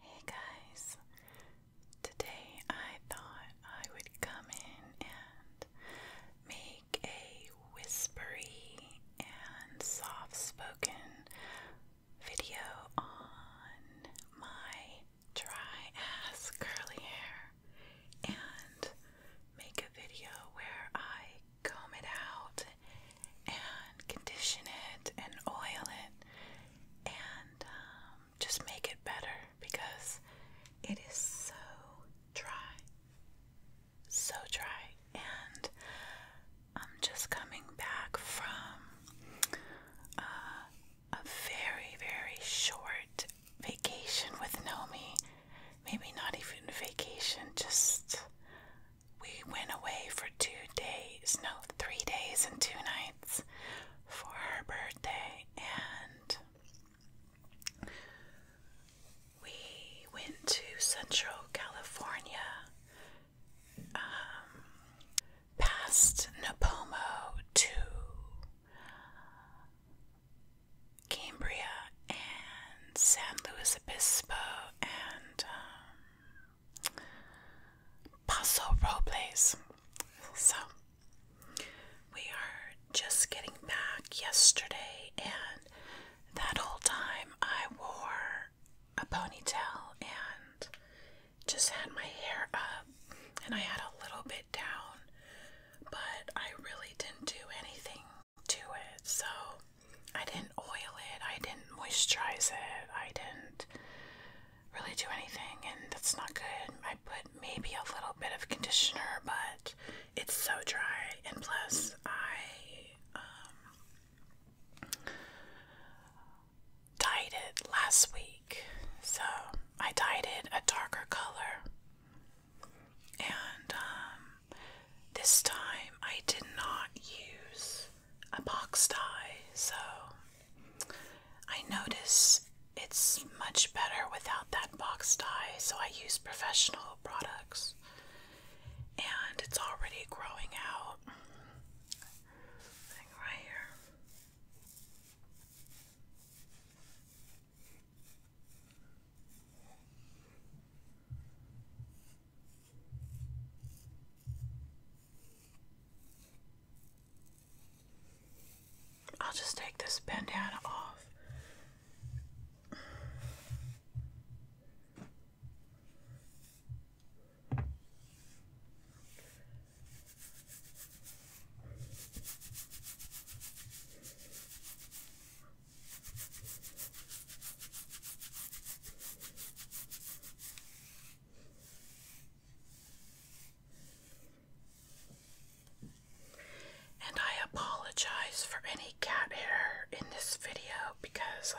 Hey guys, today I thought I would come in and make a whispery and soft spoken video on my dry ass curly hair and make a video where I comb it out and condition it and oil it and um, just make it better because it is so dry. So dry. And I'm just coming back from uh, a very, very short vacation with Nomi. Maybe not even vacation, just we went away for two days, no, three days and two nights for her birthday, and we went to Central California, um, past Napomo to Cambria and San Luis Obispo and um, Paso Robles. So, we are just getting back yesterday, and that whole time I wore a ponytail and just had my hair up, and I had a little bit down, but I really didn't do anything to it. So, I didn't oil it, I didn't moisturize it, I didn't really do anything, and that's not good. I put maybe a little bit of conditioner, but it's so dry, and plus, I um, dyed it last week, so I dyed it a darker color. And um, this time I did not use a box dye, so I notice it's much better without that box dye, so I use professional products. And it's already growing out. right here. I'll just take this bandana off. And I apologize for any cat hair in this video because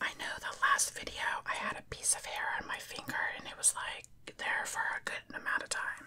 I know the last video I had a piece of hair on my finger and it was like there for a good amount of time.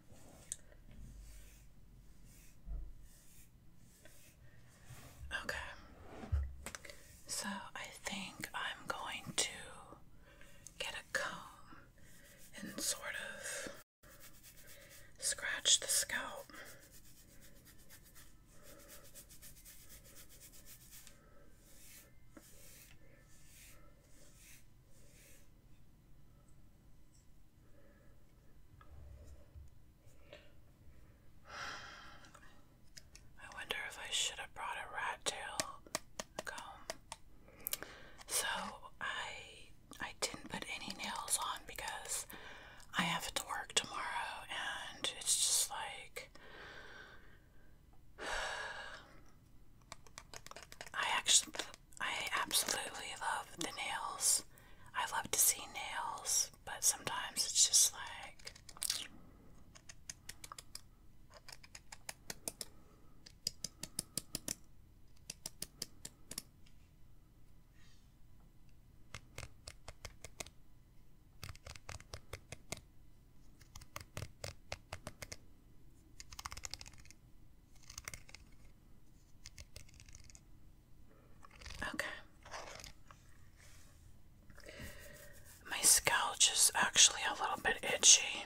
Okay. So I think I'm going to get a comb and sort of scratch the scalp. I wonder if I should have brought a rat tail comb. So I I didn't put any nails on because I have to work tomorrow and it's just like I actually, I absolutely love the nails. I love to see nails, but sometimes it's just like. Okay. My scalp is actually a little bit itchy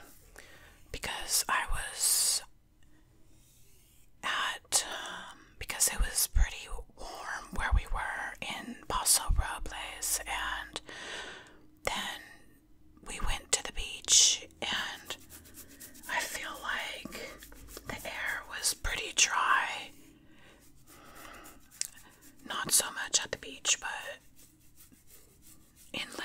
because I was at, um, because it was pretty warm where we were in Paso Robles, and then we went to the beach and I feel like the air was pretty dry. Not so much at the beach, but inland.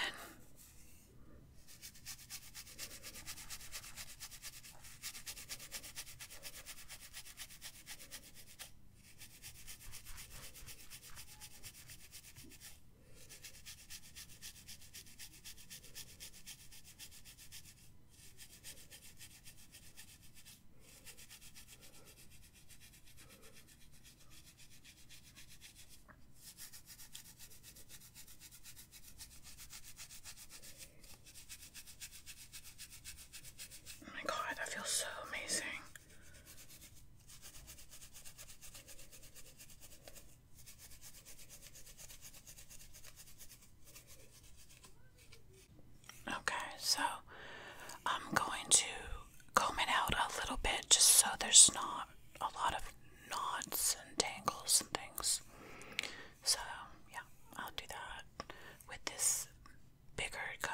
Oh my god, that feels so amazing. Okay, so I'm going to comb it out a little bit just so there's not a lot of knots and tangles and things. So, yeah, I'll do that with this bigger comb.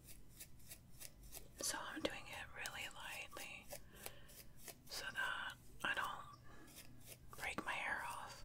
So I'm doing it really lightly so that I don't break my hair off.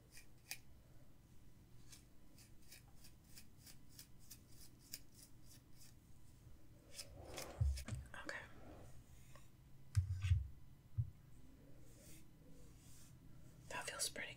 Okay. That feels pretty good.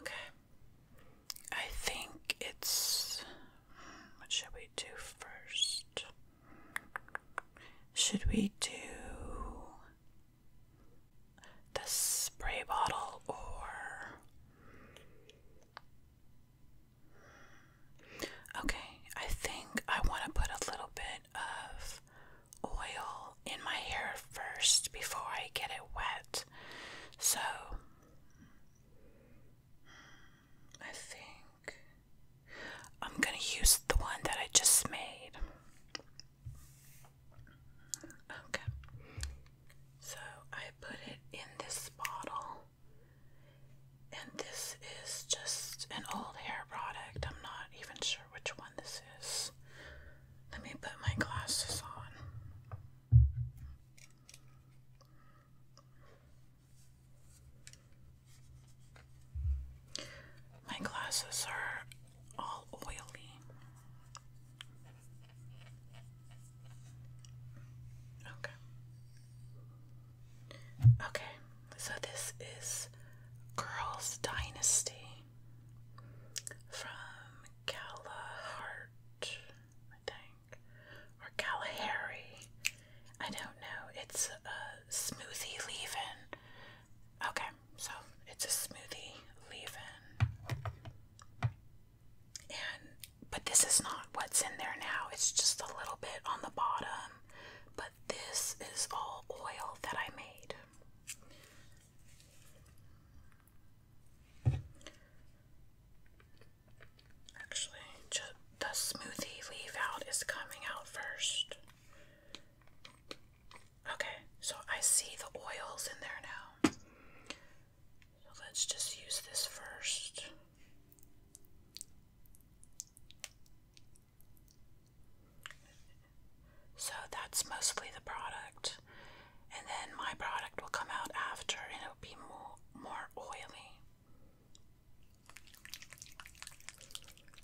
Okay. I think it's. What should we do first? Should we do the spray bottle or Okay, I think I want to put a little bit of oil in my hair first before I get it wet. So I think I'm going to use the one that I just made. Okay. So I put it in this bottle. And this is just an old hair product. I'm not even sure which one this is. Let me put my glasses on. My glasses are all oily. Okay. Okay, so this is Girls Dynasty from Galahart, I think, or Kalahari. I don't know. It's a smoothie leaving. Okay, so it's a smoothie leave-in, and but this is not what's in there now. It's just a little bit on the bottom, but this is all oil that I made. Actually, just the smoothie leave out is coming out first. Okay, so I see the oils in there now. So let's just use this first. So that's mostly the product. And then my product will come out after and it'll be more more oily.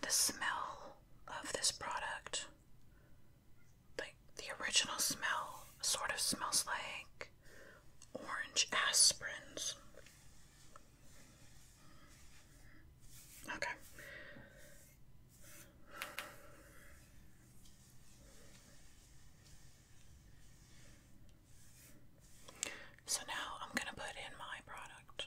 The smell of this product, like the original smell, sort of smells like orange aspirins. Okay. So now I'm going to put in my product.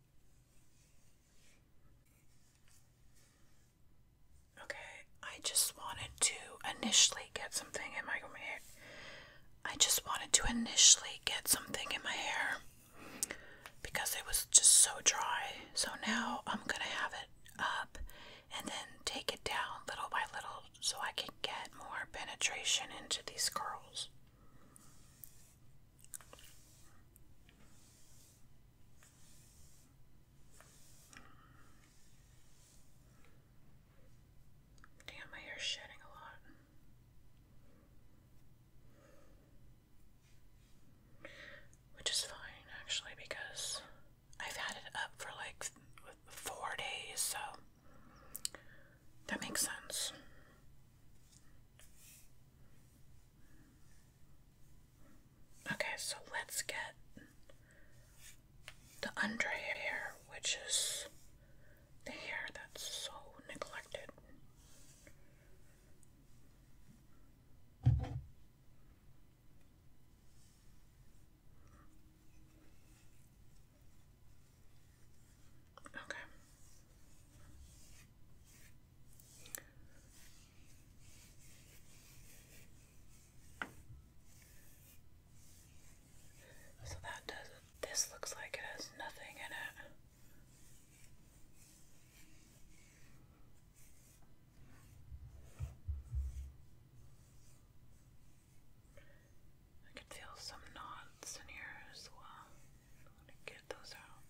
Okay, I just wanted to initially get something in my hair. I just wanted to initially get something in my hair because it was just so dry. So now I'm gonna have it up and then take it down little by little so I can get more penetration into these curls. Damn, my hair's shedding a lot. Which is fine, actually, because I've had it up for like four days, so that makes sense. Okay, so let's get the under hair, which is the hair that's so neglected. Okay. So that does it. This looks like it has nothing in it. I can feel some knots in here as well. I'm get those out.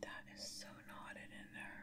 That is so knotted in there.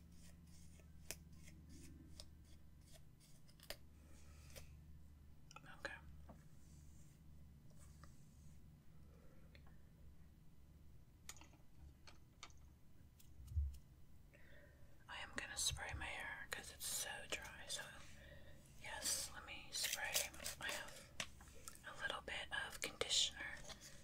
Okay. I am going to spray my hair because it's so dry. So, yes, let me spray. I have a little bit of conditioner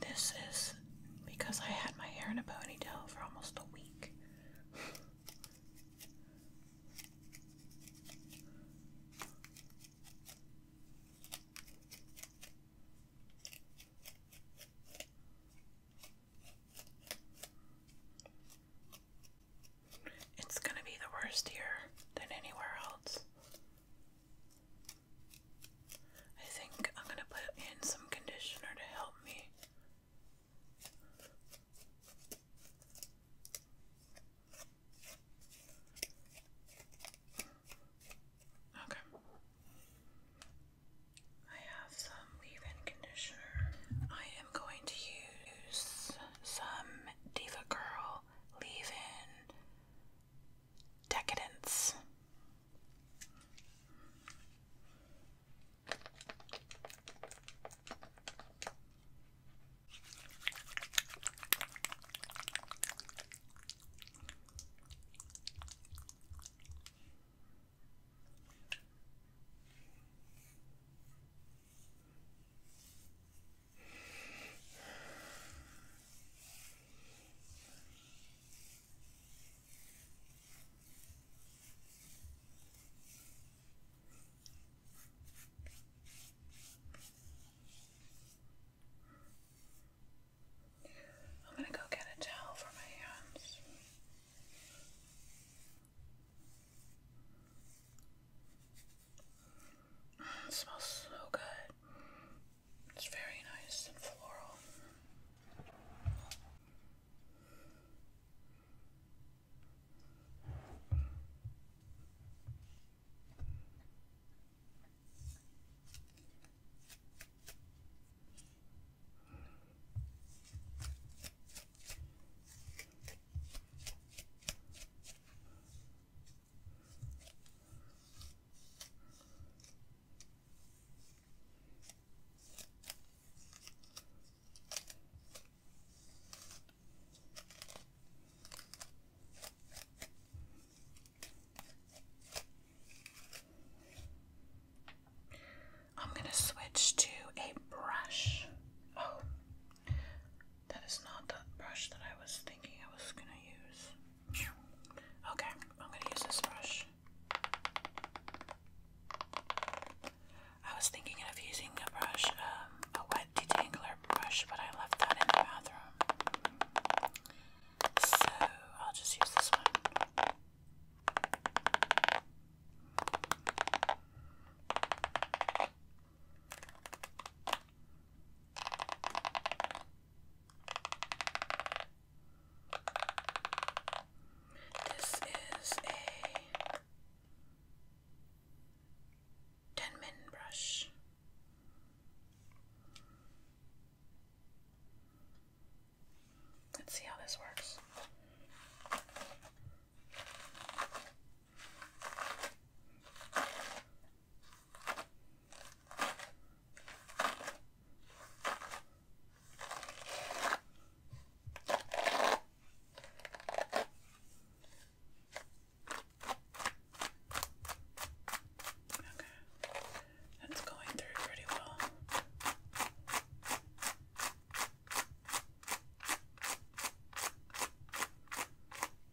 This is because I had my hair in a ponytail for almost a week. It's gonna be the worst here than anywhere else. I think I'm gonna put in some conditioner to help me. Okay. I have some leave in conditioner. I am going to use some Diva Girl leave in decadence. I'm going to go get a towel for my hands it smells so good. It's very nice and floral. I'm going to switch to a brush. Oh, that is not the brush that I was thinking I was gonna use. Okay, I'm gonna use this brush. I was thinking of using a brush, um, a wet detangler brush, but I left that in the bathroom. So I'll just use this one. This is a Denman brush. Let's see how this works. Okay. That's going through pretty well.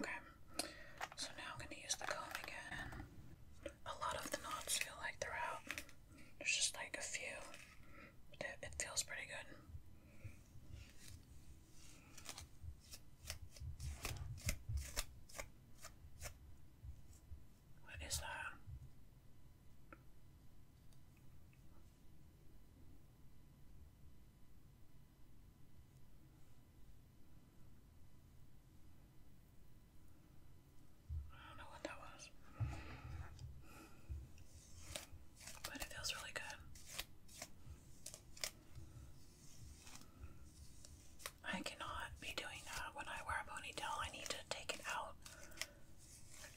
Okay, so now I'm going to use the comb again a lot of the knots feel like they're out. There's just like a few. But it, feels pretty good. What is that? I don't know what that was. But it feels really good. I cannot be doing that when I wear a ponytail. I need to take it out.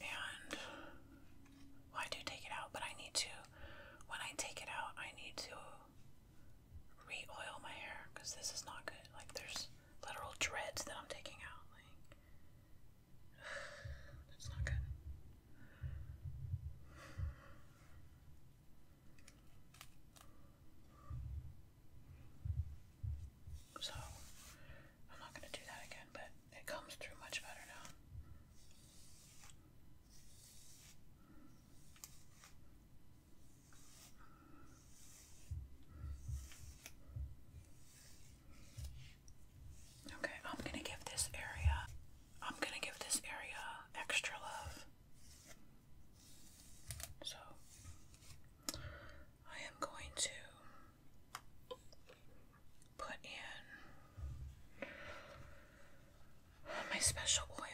And I do take it out, but I need to when I take it out, I need to re-oil my hair because this is not good. Like there's literal dreads that I'm taking out. Like, that's not good. So, I'm not going to do that again, but it comes through much better now. Okay, I'm going to give this area, I'm going to give this area extra love. So, I am going to put in my special oil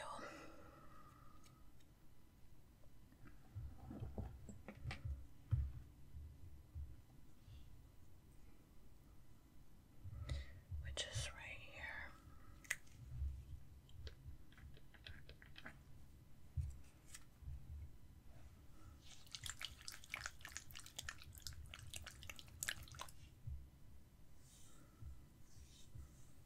which is right here.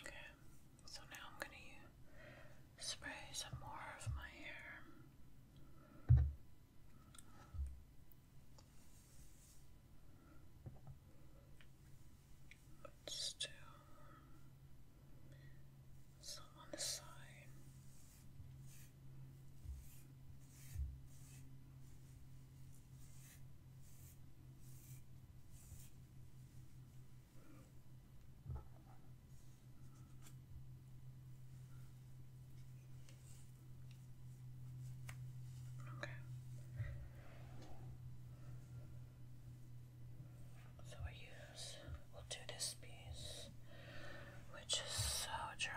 Okay, so now I'm going to spray some more of my hair. But still, some on the side. Okay. So we use, we'll do this piece, which is so dry.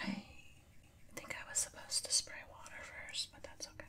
I think I was supposed to spray water first, but that's okay.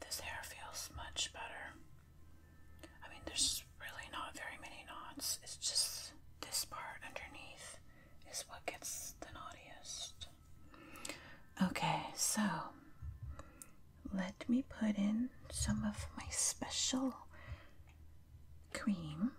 This hair feels much better I mean, there's really not very many knots. It's just this part underneath is what gets the naughtiest. Okay, so let me put in some of my special cream.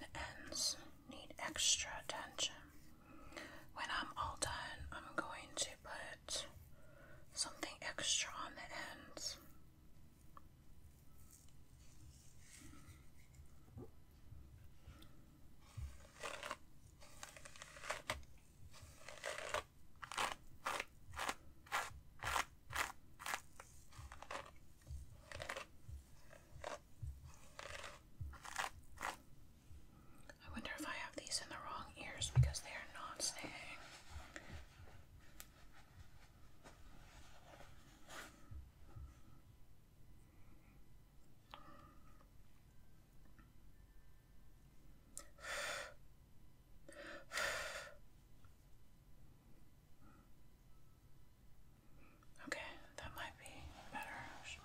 The ends need extra attention. When I'm all done, I'm going to put something extra on the ends. I wonder if I have these in the wrong ears because they are not staying. Okay, that might be better actually.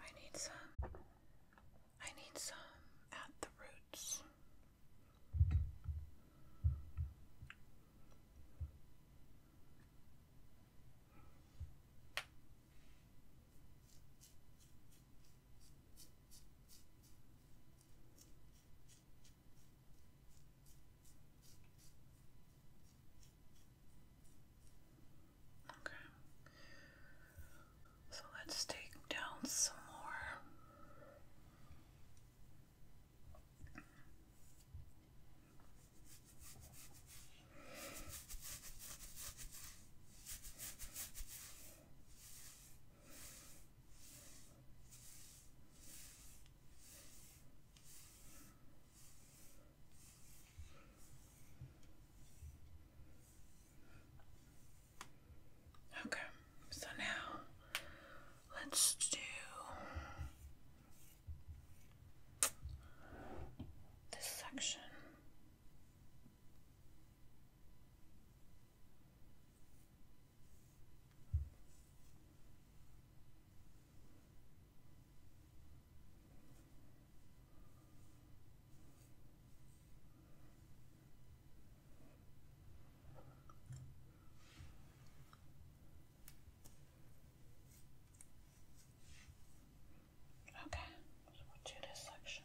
I need some. I need some at the roots. Okay. So let's take down some more. Okay, so now let's do this section. Okay, so we'll do this section.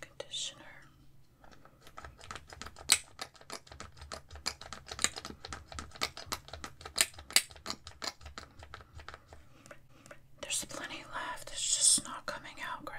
conditioner. There's plenty left, it's just not coming out great.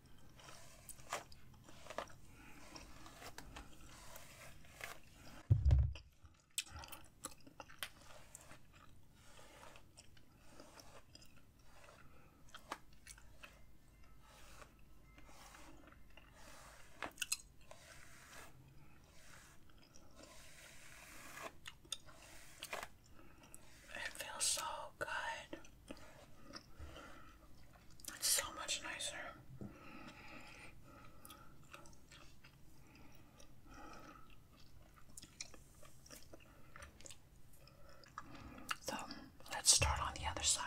It feels so good. It's so much nicer. So let's start on the other side.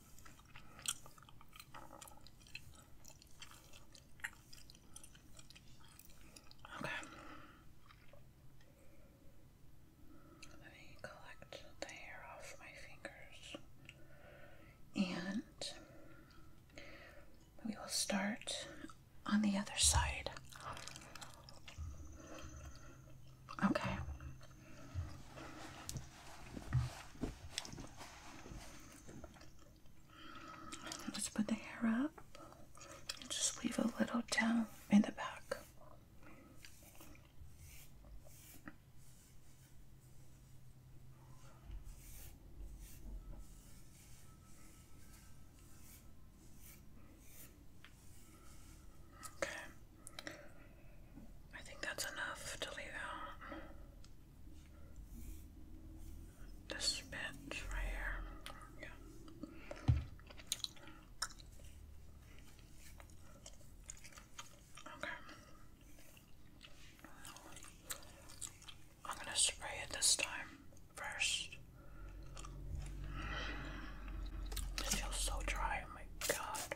Okay. Let me collect the hair off my fingers. And we will start on the other side. Okay. Let's put the hair up and just leave a little down in the back. Okay. I think that's enough to leave out. This bench right here. Yeah. Okay. I'm going to spray it this time first. This feels so dry, oh my god.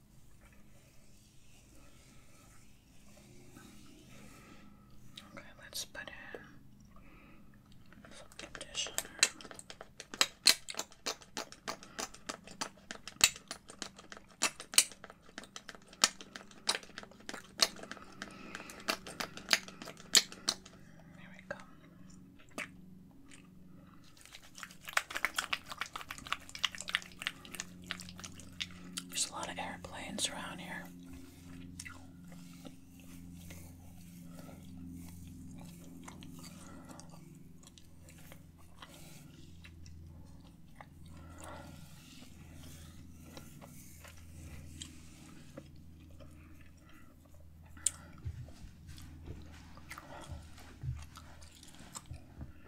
Okay, let's put in some conditioner. There we go. There's a lot of airplanes around here.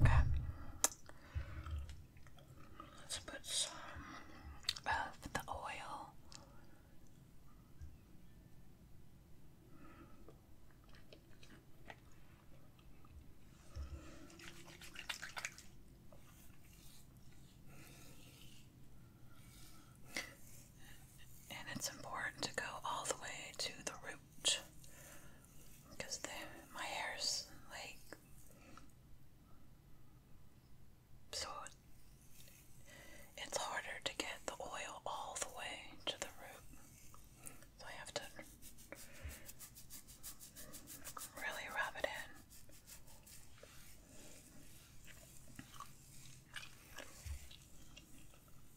Okay. Let's put some of the oil. And it's important to go all the way to the root because my hair's like so it's harder to get the oil all the way to the root, so I have to really rub it in.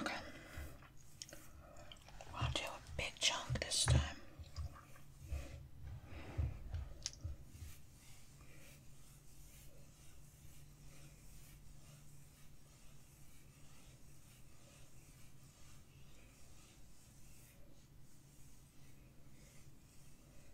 Okay. I'll do a big chunk this time.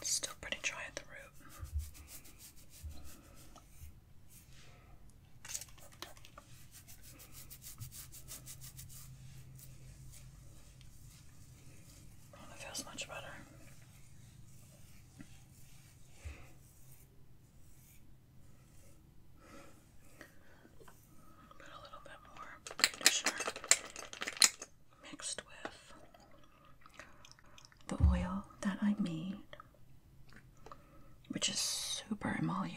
It's still pretty dry at the root. it feels much better. Put a little bit more conditioner mixed with the oil that I made, which is super emollient.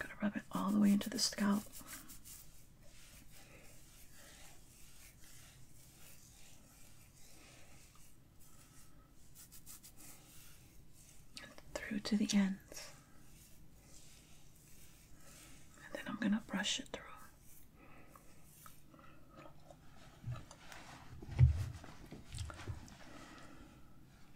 I'm gonna rub it all the way into the scalp. through to the ends. And then I'm gonna brush it through.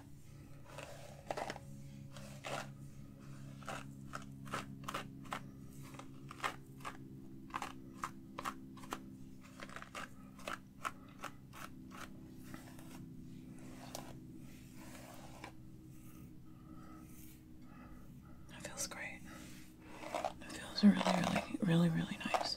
That feels great. That feels really, really, really, really nice.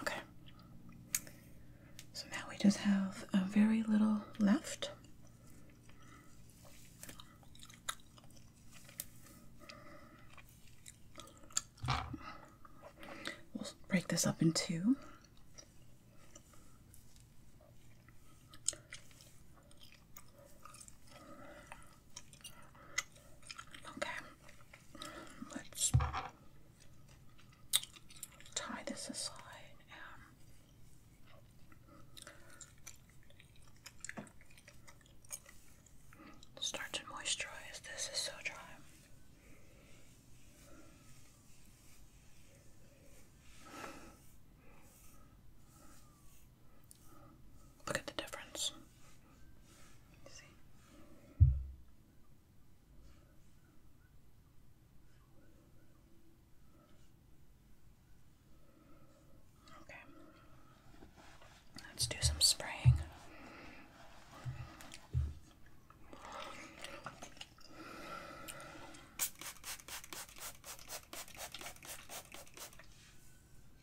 Okay. So now we just have a very little left. We'll break this up in two. Okay, let's tie this aside. Um, start to moisturize. This is so dry. Look at the difference. Okay. Let's do some spraying.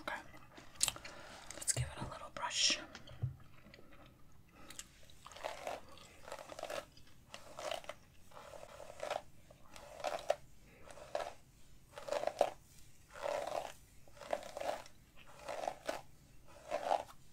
Okay, let's give it a little brush.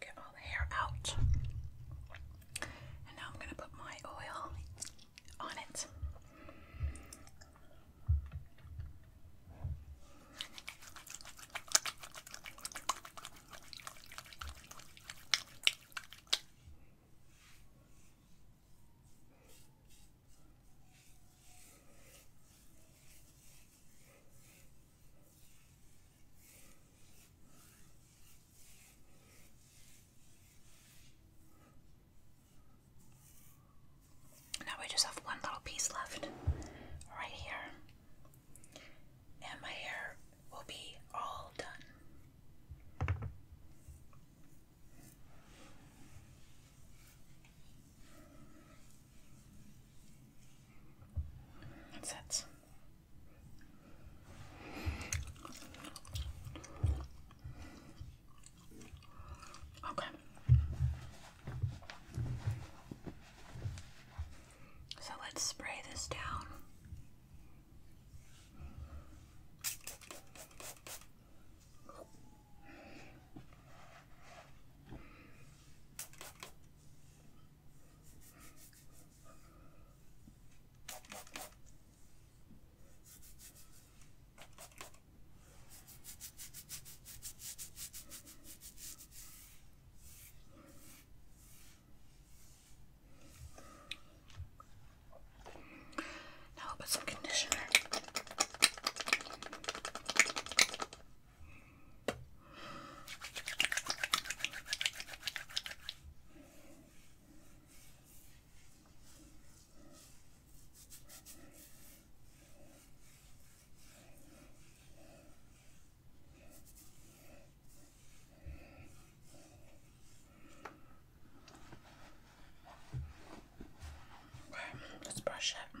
Get all the hair out. And now I'm going to put my oil on it. Now we just have one little piece left right here, and my hair will be all done. That's it. Okay. So let's spray this down. Now i put some conditioner Let's brush it.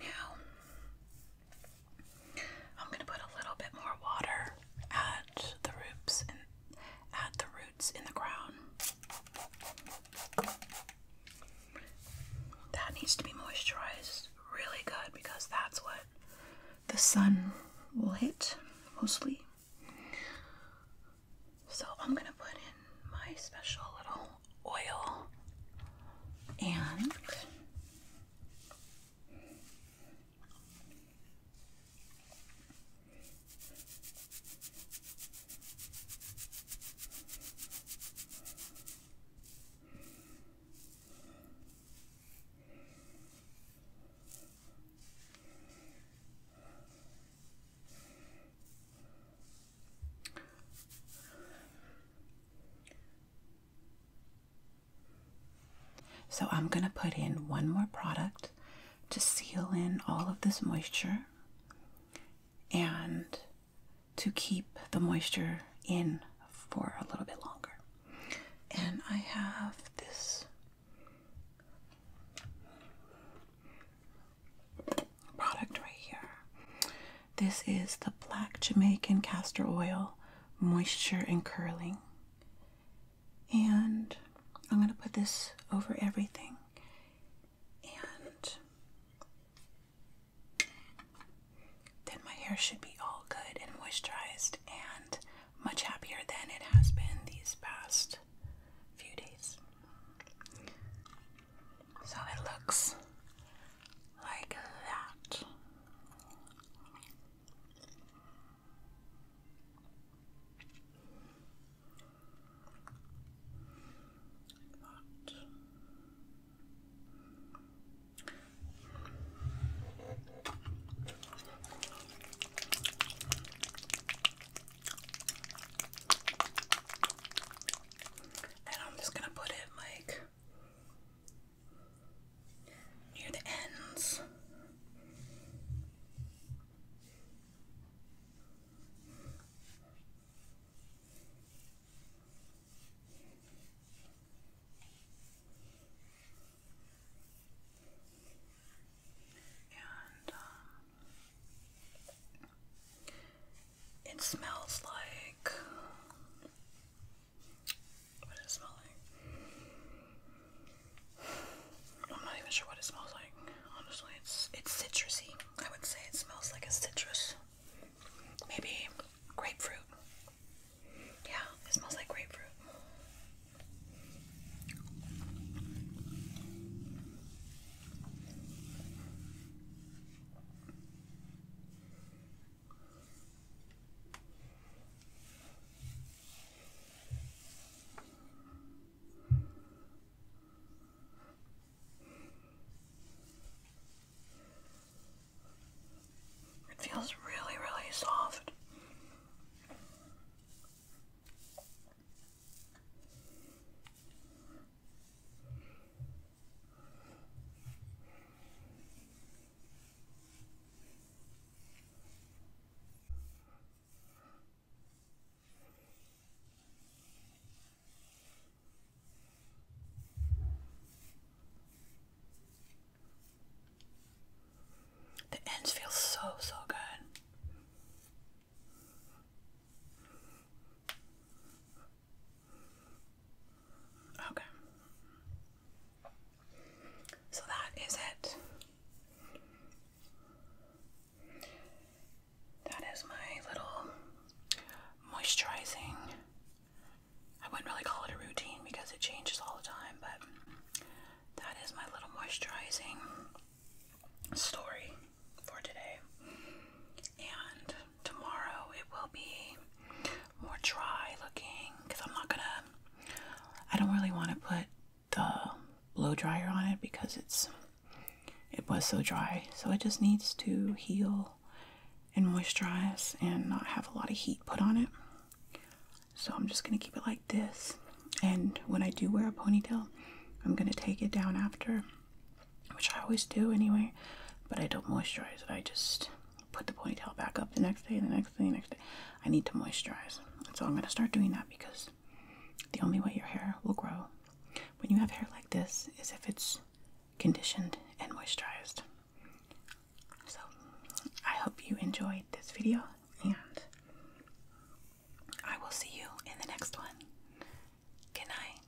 Now, I'm going to put a little bit more water at the roots and at the roots in the ground. That needs to be moisturized really good because that's what the sun will hit mostly. So I'm going to put in my special little oil and so I'm going to put in one more product to seal in all of this moisture and to keep the moisture in for a little bit longer. And I have this product right here. This is the Black Jamaican Castor Oil Moisture and Curling. And I'm going to put this over everything. And then my hair should be all good and moisturized and much happier than it has been these past few days. So it looks like that. But then I'm just going to put it like near the ends. And um, it smells like what it smell like? I'm not even sure what it smells like. Honestly, it's it's citrusy. I would say it smells like a citrus. Maybe grapefruit. Yeah, it smells like grapefruit. It feels really, really soft. The ends feel so, so good. Okay. So that is it. That is my little moisturizing. I wouldn't really call it a routine because it changes all the time, but that is my little moisturizing story for today. And tomorrow it will be more dry looking because I'm not gonna, I don't really want to put the blow dryer on it because it's, it was so dry. So it just needs to heal and moisturize and not have a lot of heat put on it. So I'm just gonna keep it like this. And when I do wear a ponytail, I'm gonna take it down after, which I always do anyway, but I don't moisturize it. I just put the ponytail back up the next day, the next day, the next day. I need to moisturize. So I'm going to start doing that because the only way your hair will grow when you have hair like this is if it's conditioned and moisturized. So I hope you enjoyed this video and I will see you in the next one. Good night.